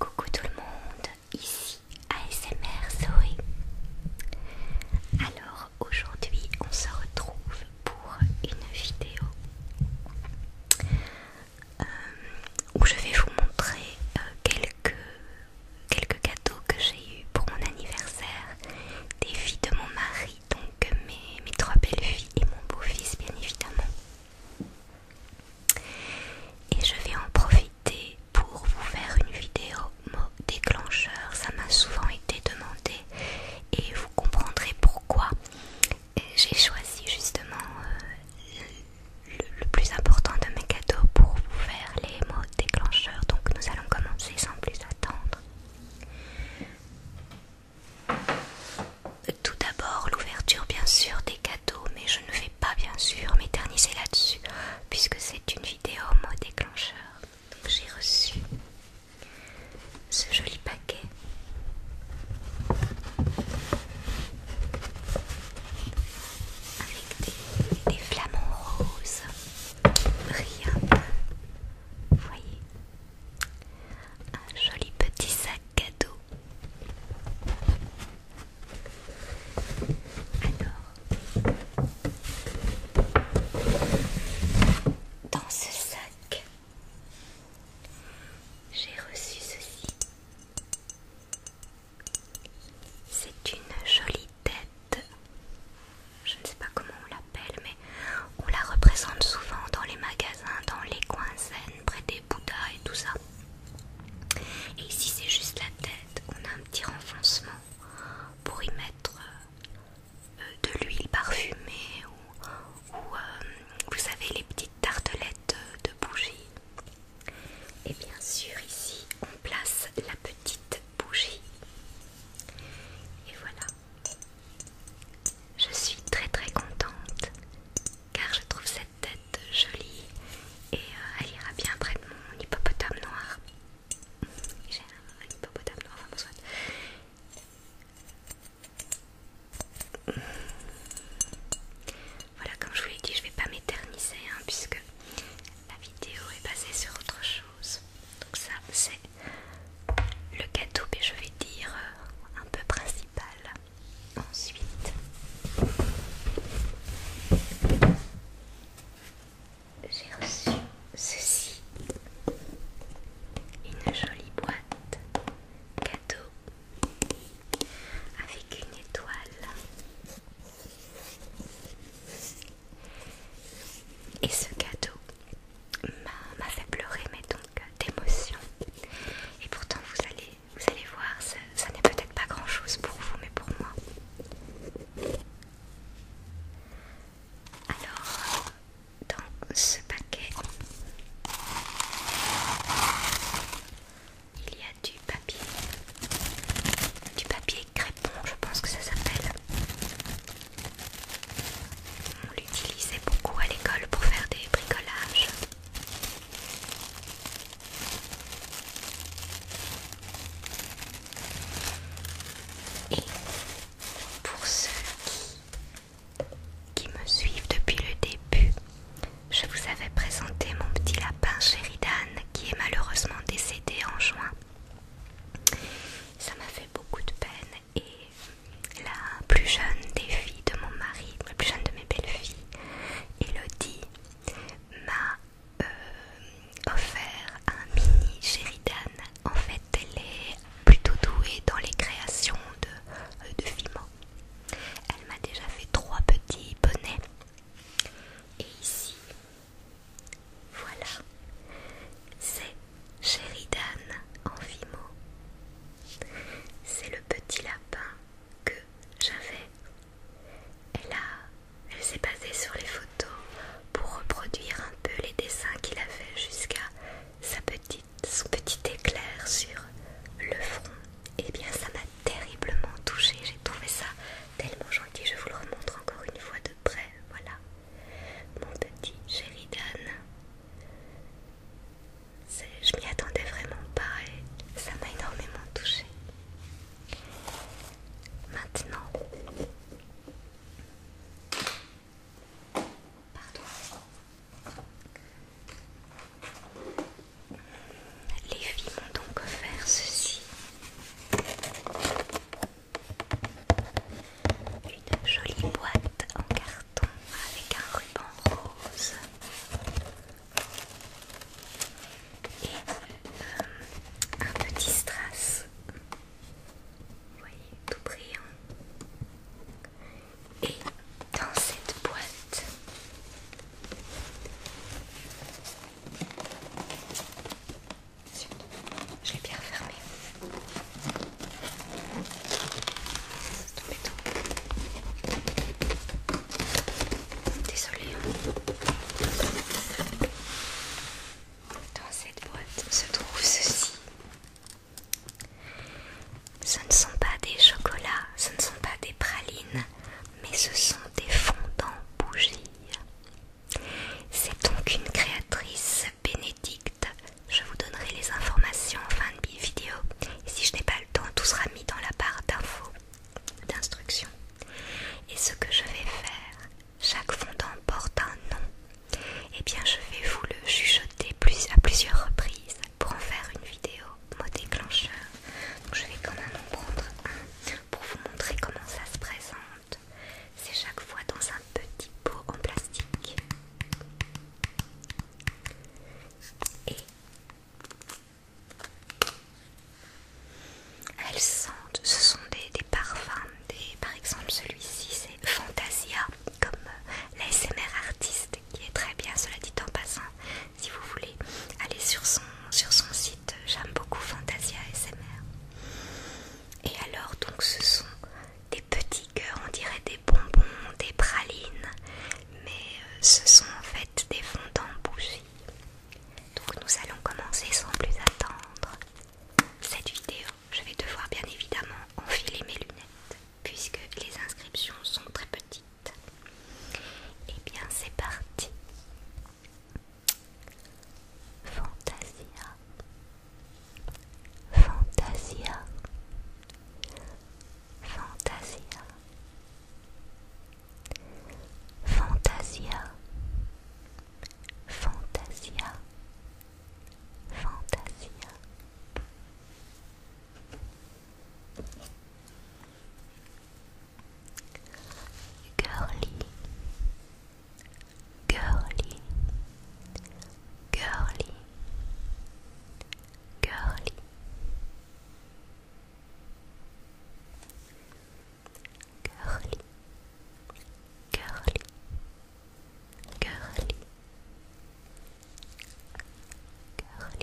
Coucou tout le monde, ici ASMR Zoé. Alors aujourd'hui on se retrouve pour une vidéo euh, où je vais vous montrer euh, quelques, quelques que j'ai eu pour mon anniversaire des filles de mon mari donc mes, trois belles filles et mon beau-fils bien évidemment. Et je vais en profiter pour vous faire une vidéo mot déclencheur, ça m'a souvent été demandé et vous comprendrez pourquoi j'ai choisi justement euh, le plus important de mes cadeaux pour vous faire les mots déclencheurs. Donc nous allons commencer sans plus attendre. Tout d'abord l'ouverture bien sûr des cadeaux, mais je ne vais pas bien sûr m'éterniser là-dessus puisque c'est une vidéo mot déclencheur. Donc j'ai reçu ce joli paquet. Avec des, des flamants roses brillants. Vous voyez un joli petit sac cadeau. Alors, dans ce sac, j'ai reçu ceci. C'est une jolie tête je ne sais pas comment on l'appelle, mais on la représente souvent dans les magasins, dans les coins zen, près des bouddhas et tout ça. Et ici c'est juste la tête, on a un petit renfoncement pour y mettre euh, de l'huile parfumée ou, euh, vous savez les petites tartelettes de bougies. Et bien sûr ici on place la petite bougie. Et voilà. Je suis très très contente car je trouve cette tête jolie et euh, elle ira bien près de mon hippopotame noir. J'ai un, hippopotame noir, enfin Voilà, comme je vous l'ai dit, je ne vais pas m'éterniser hein, puisque la vidéo est basée sur autre chose. Donc ça c'est le gâteau mais je vais dire euh, un peu principal. Ensuite j'ai reçu ceci. Une jolie boîte cadeau avec une étoile. Et ce cadeau, m'a fait pleurer, mais donc euh, d'émotion. Et pourtant, vous allez, vous allez voir, ça, n'est peut-être pas grand-chose pour vous, mais pour moi. Alors, dans ce paquet, il y a du papier, du papier crème je pense que ça s'appelle. On l'utilisait beaucoup à l'école pour faire des bricolages. Et pour ceux qui, qui me suivent depuis le début, je vous avais présenté mon petit lapin Sheridan qui est malheureusement décédé en juin ça m'a fait beaucoup de peine et la plus jeune des filles de mon mari, la plus jeune de mes belles-filles, Elodie, m'a euh, offert un mini Sheridan. En fait, elle est plutôt douée dans les créations de, euh, de Elle m'a déjà fait trois petits bonnets. Et ici, voilà, c'est Sheridan en fimo. C'est le petit lapin que j'avais. Elle, là, elle s'est basée sur les photos pour reproduire un peu les dessins qu'il avait jusqu'à sa petite, son petit éclair sur le front. Et eh bien ça m'a terriblement touchée, j'ai trouvé ça tellement gentil, je vous le remontre encore une fois de près, voilà mon petit Sheridan. Je m'y attendais vraiment pas et ça m'a énormément touchée. Maintenant, Les filles m'ont donc offert ceci. Une jolie boîte en carton avec un ruban rose. Et euh, un petit strass. Vous voyez, tout brillant. Et dans cette boîte, je l'ai bien fermé. Désolée. Dans cette boîte se trouve ceci. Ce ne sont pas des chocolats, ce ne sont pas des pralines, mais ce sont des fondants bougies. C'est donc une créatrice bénédicte. Je vous donnerai les informations en fin de vidéo. si je n'ai pas le temps, tout sera mis dans la barre d'infos, d'instructions. Et ce que je vais faire, chaque fondant porte un nom. Et eh bien je vais vous le chuchoter à plusieurs reprises pour en faire une vidéo mot déclencheur. je vais quand même en prendre un pour vous montrer comment ça se présente. C'est chaque fois dans un petit pot en plastique. Et elles sentent, ce sont des, parfums, par exemple celui-ci c'est Fantasia, comme euh, SMR artiste qui est très bien, cela dit en passant, si vous voulez aller sur son, sur son site, j'aime beaucoup Fantasia SMR et alors donc ce sont des petits cœurs, on dirait des bonbons, des pralines, mais euh, ce sont en fait des fondants bougies. Donc nous allons commencer sans plus attendre cette vidéo. Je vais devoir bien évidemment enfiler mes lunettes puisque les inscriptions sont très petites. Et eh bien c'est parti. Fantasia Fantasia Fantasia Fantasia Fantasia Fantasia Girly girly, girly, girly, girly, girly, girly. girly, Carly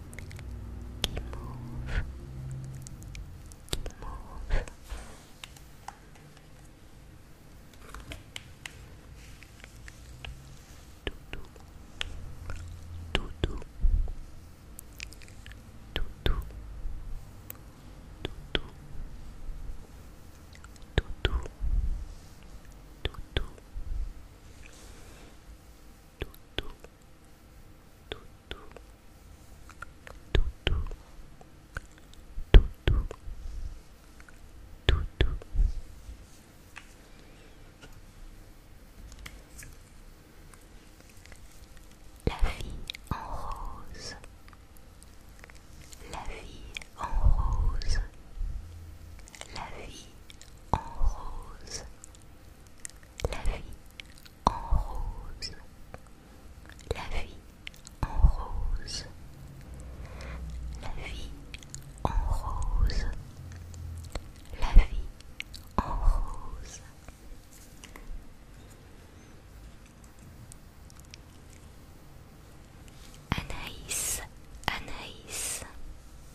Keep move. Keep move. Tutu. Tutu. Tutu. Tutu. Tutu. Tutu. tout, tout, tout, tout. La vie en rose, la vie en rose, la vie en rose, la en rose, la vie en rose, la vie en rose, la vie en rose. Anaïs, Anaïs,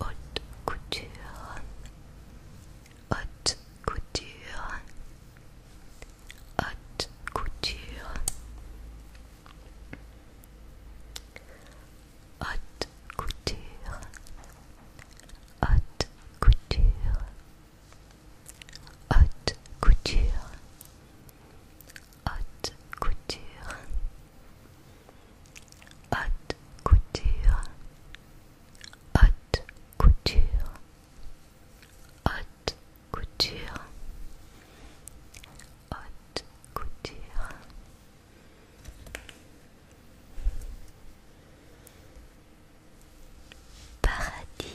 haute couture, haute couture, haute couture, haute couture, haute couture. couture, haute couture, haute couture, haute couture, haute couture, haute couture, haute couture. Paradis,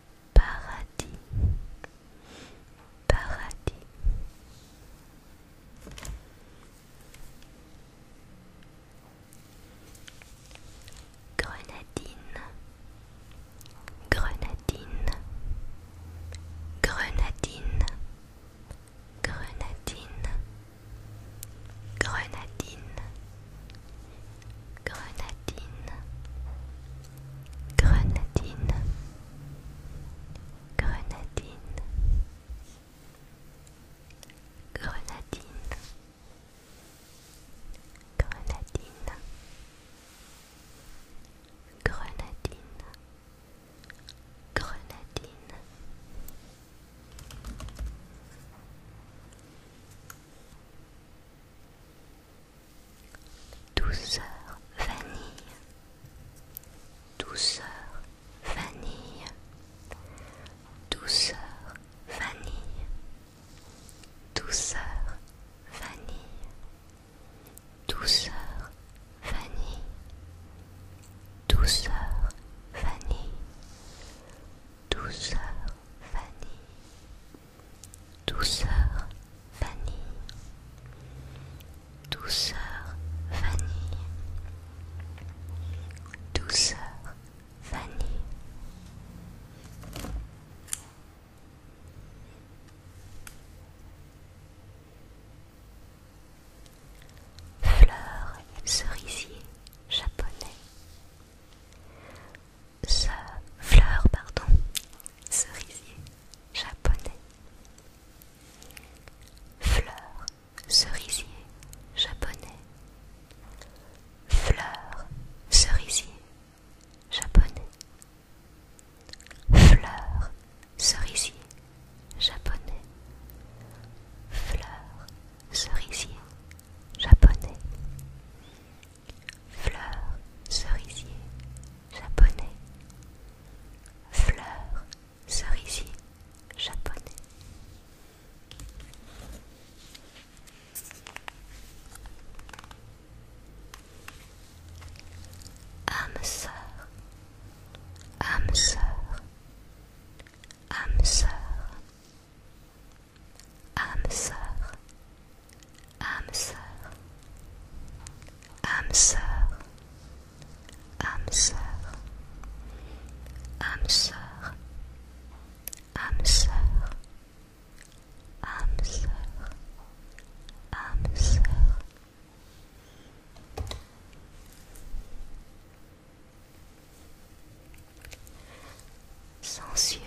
paradis paradis grenadine grenadine grenadine grenadine grenadine grenadine, grenadine, grenadine, grenadine, grenadine, grenadine, grenadine douceur vanille, douceur vanille, douceur vanille, douceur vanille, douceur vanille, douceur vanille, douceur vanille douceur vanille, douceur vanille, douceur vanille. Fleur cerisier japonais fleur pardon cerisier japonais fleur cerisier japonais fleur cerisier japonais fleur cerisier japonais fleur cerisier japonais Fleurs cerisier japonais. Fleurs cerisier japonais. Âme sœur, âme sœur, âme sœur, âme sœur, âme sœur, âme sœur, âme sœur, âme âme Sensuel,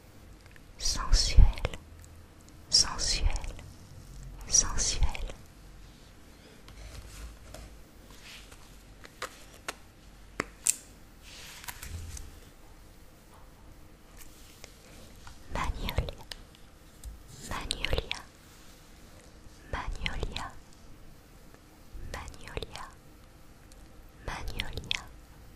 sensuel, sensuel, sensuel. Magnolia, magnolia, magnolia, magnolia, magnolia,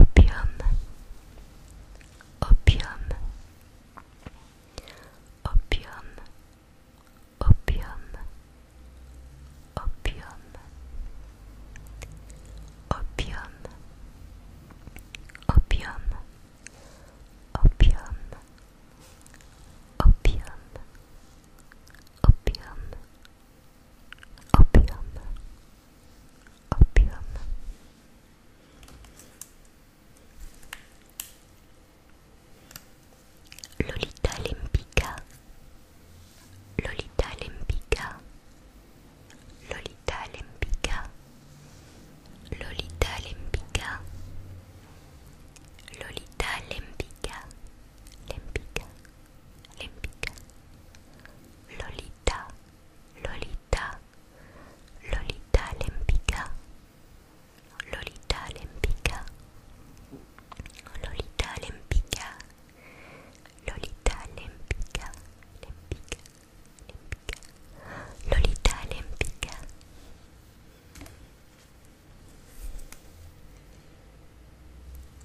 opium opium opium opium opium opium opium opium opium opium opium opium. Lolita Lempica, Lolita Lempica, Lolita Lempica, Lolita Lempica, Lolita Lempica, Lempica, límbica, Lolita, Lolita, Lolita límbica, Lolita límbica, Lolita límbica, Lolita límbica, límbica, límbica, Lolita límbica.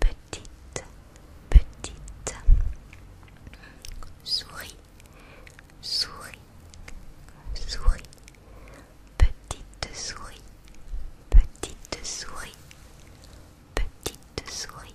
petite, petite souris, souris, souris, petite souris, petite souris, petite souris.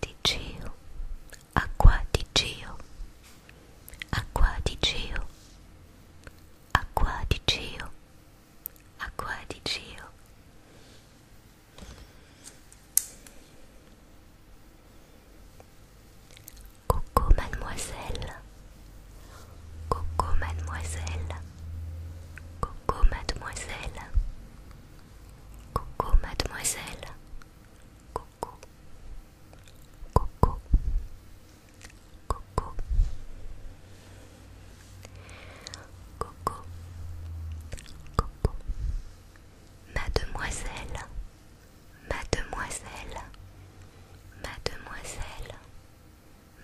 di Gio, acqua di Gio, acqua di Gio, acqua di Gio, acqua di Gio. Coucou mademoiselle, coucou mademoiselle, coucou mademoiselle, coucou mademoiselle, coucou. Coco. Coco. Coco. Coco. Mademoiselle. Mademoiselle. Mademoiselle.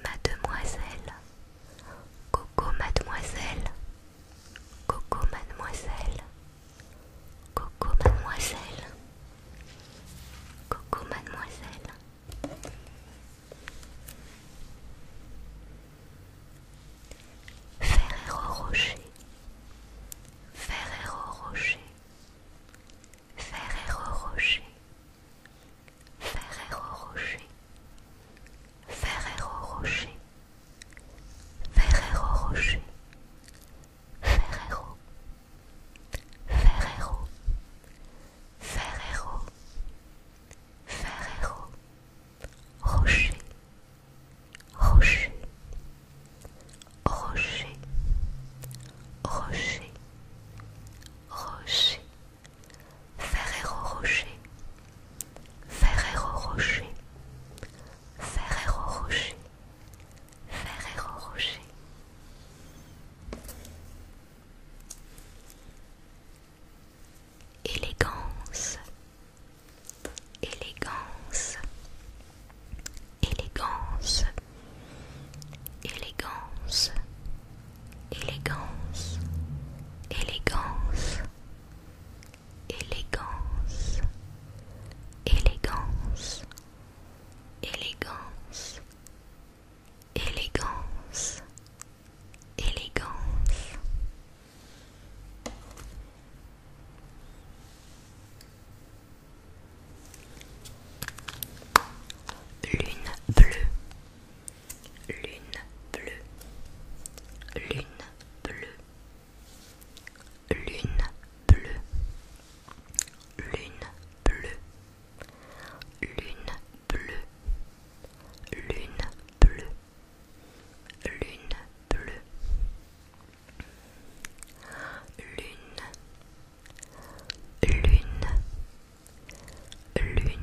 Mademoiselle. Coco mademoiselle. Coco mademoiselle. Coco mademoiselle. Coco mademoiselle. Ferrero Rocher. Ferrero Rocher. Ferrero Rocher. Ferrero Rocher. Ferrero Rocher. Ferrero Rocher. Ferrero, Ferrero, Ferrero, Ferrero, Rocher, Rocher, Rocher, Rocher, Rocher, Ferrero Rocher, Ferrero Rocher, Ferrero Rocher. Rocher, Ferrero Rocher. Élégance, élégance, élégance, élégance, élégance, élégance, élégance, élégance, élégance, élégance, élégance. Lune bleue, lune bleue, lune bleue, Lune bleue, lune bleue, lune bleue, lune bleue, lune bleue, lune, lune, lune, lune. Lune,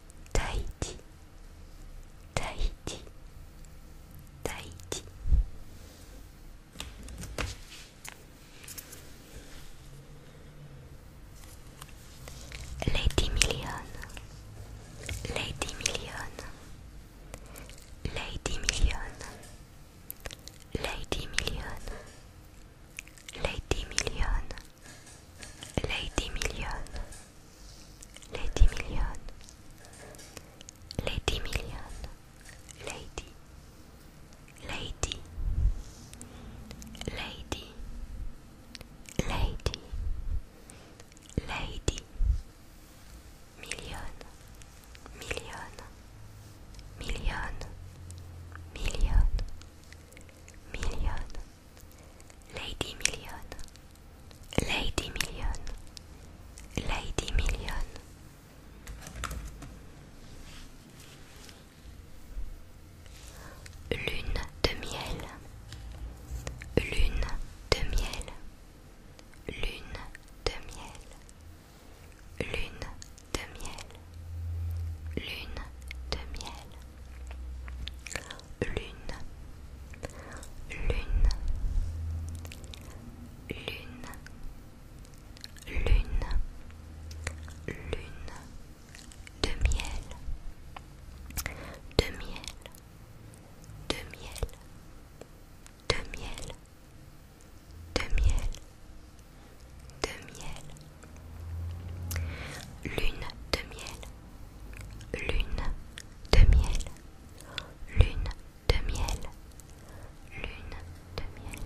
Tahiti, Tahiti, Tahiti. Lady Million, Lady Million, Lady Million, Lady Million, Lady Million. Lady Million, Lady Million, Lady Million, Lady, Lady, Lady, Lady, Lady, Million, Million, Million, Million, Million. Lady Million, Lady Million, Lady Million. Lune de miel, lune de miel, lune de miel, lune de miel, lune de miel lune lune lune lune lune de miel de miel de miel de miel de miel de miel Lune de miel, lune de miel, lune de miel, lune de miel.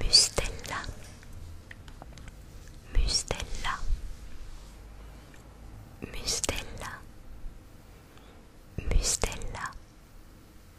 Mustella, Mustella, Mustella, Mustella,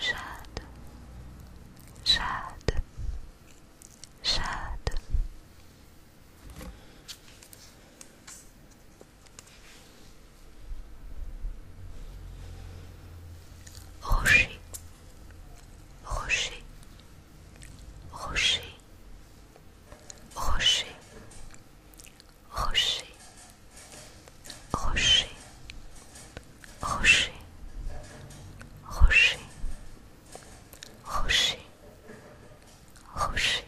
Jade, Jade, Jade. Rocher, rocher, rocher, rocher, rocher, rocher, rocher, rocher, rocher, rocher,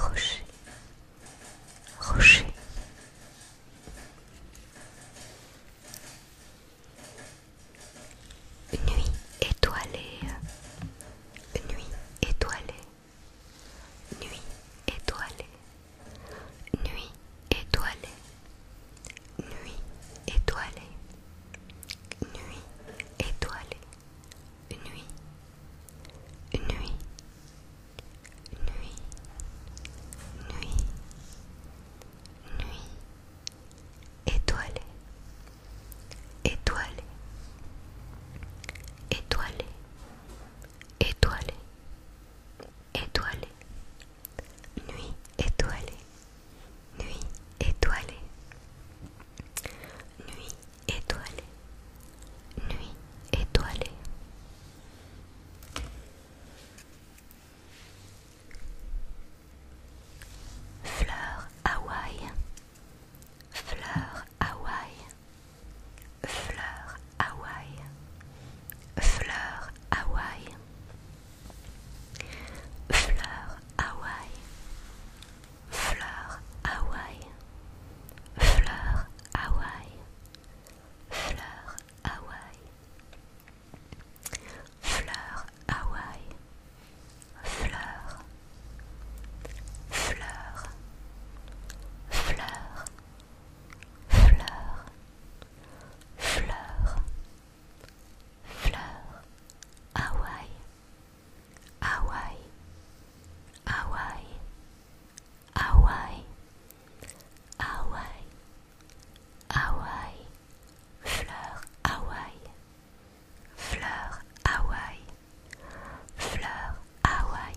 rocher, rocher. nuit étoilée, nuit étoilée, nuit étoilée. Nuit étoilée, nuit étoilée, nuit étoilée, nuit, nuit, nuit, nuit, nuit, étoilée, étoilée, étoilée, étoilée, étoilée. Nuit étoilée, nuit étoilée, nuit étoilée, nuit étoilée. Fleur Hawaï, fleur Hawaï, fleur Hawaï, fleur Hawaï, fleur Hawaï, fleur Hawaï, fleur Hawaï, fleur Hawaï, fleur Hawaï, fleur, fleur, fleur fleur, fleur, fleur, Hawaï, Hawaï, Hawaï, Hawaï, Hawaï, Hawaï, fleur, Hawaï, fleur, Hawaï, fleur, Hawaï.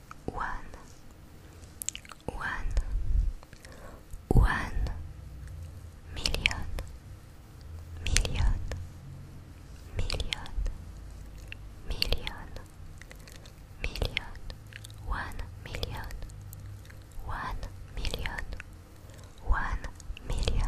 one, one, one million, million, million, million, million, one million, one million, one million.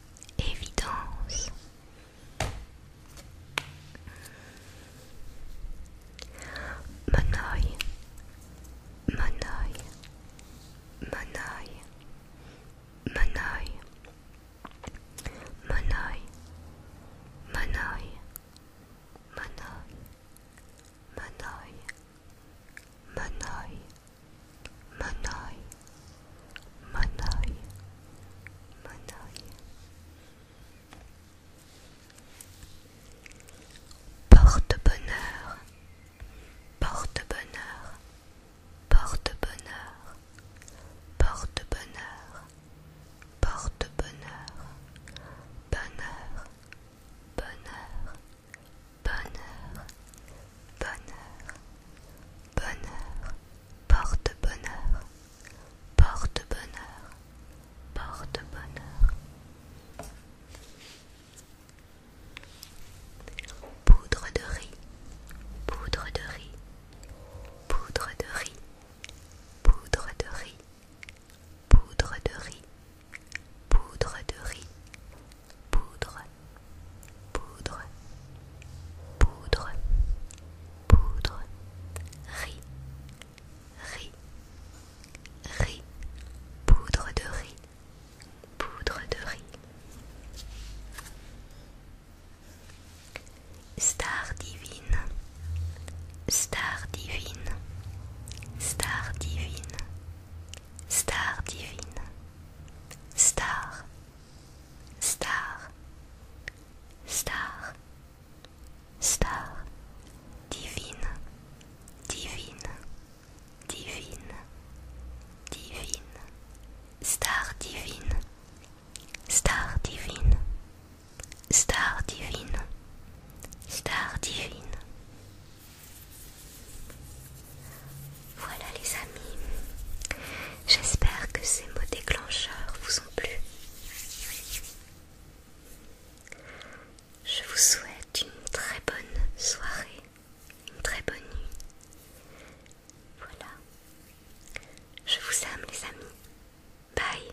évidence. Mon mon œil, mon Porte-bonheur, porte-bonheur, porte-bonheur, porte-bonheur, porte-bonheur, bonheur, bonheur. Bonheur, bonheur, bonheur, porte-bonheur, porte-bonheur, porte-bonheur. Poudre de riz, poudre de riz, poudre de riz, poudre de riz, poudre de riz, poudre de riz, poudre, poudre, poudre, poudre, riz, riz, riz, poudre de riz, poudre de riz. Star divine, star divine, star divine, star divine, Star, star, star, star, divine, divine, divine, divine, star divine, star divine, star divine, star divine, Voilà les amis, j'espère que ces mots déclencheurs vous ont plu. Je vous souhaite une très bonne soirée, une très bonne nuit. Voilà. Je vous aime les amis. Bye.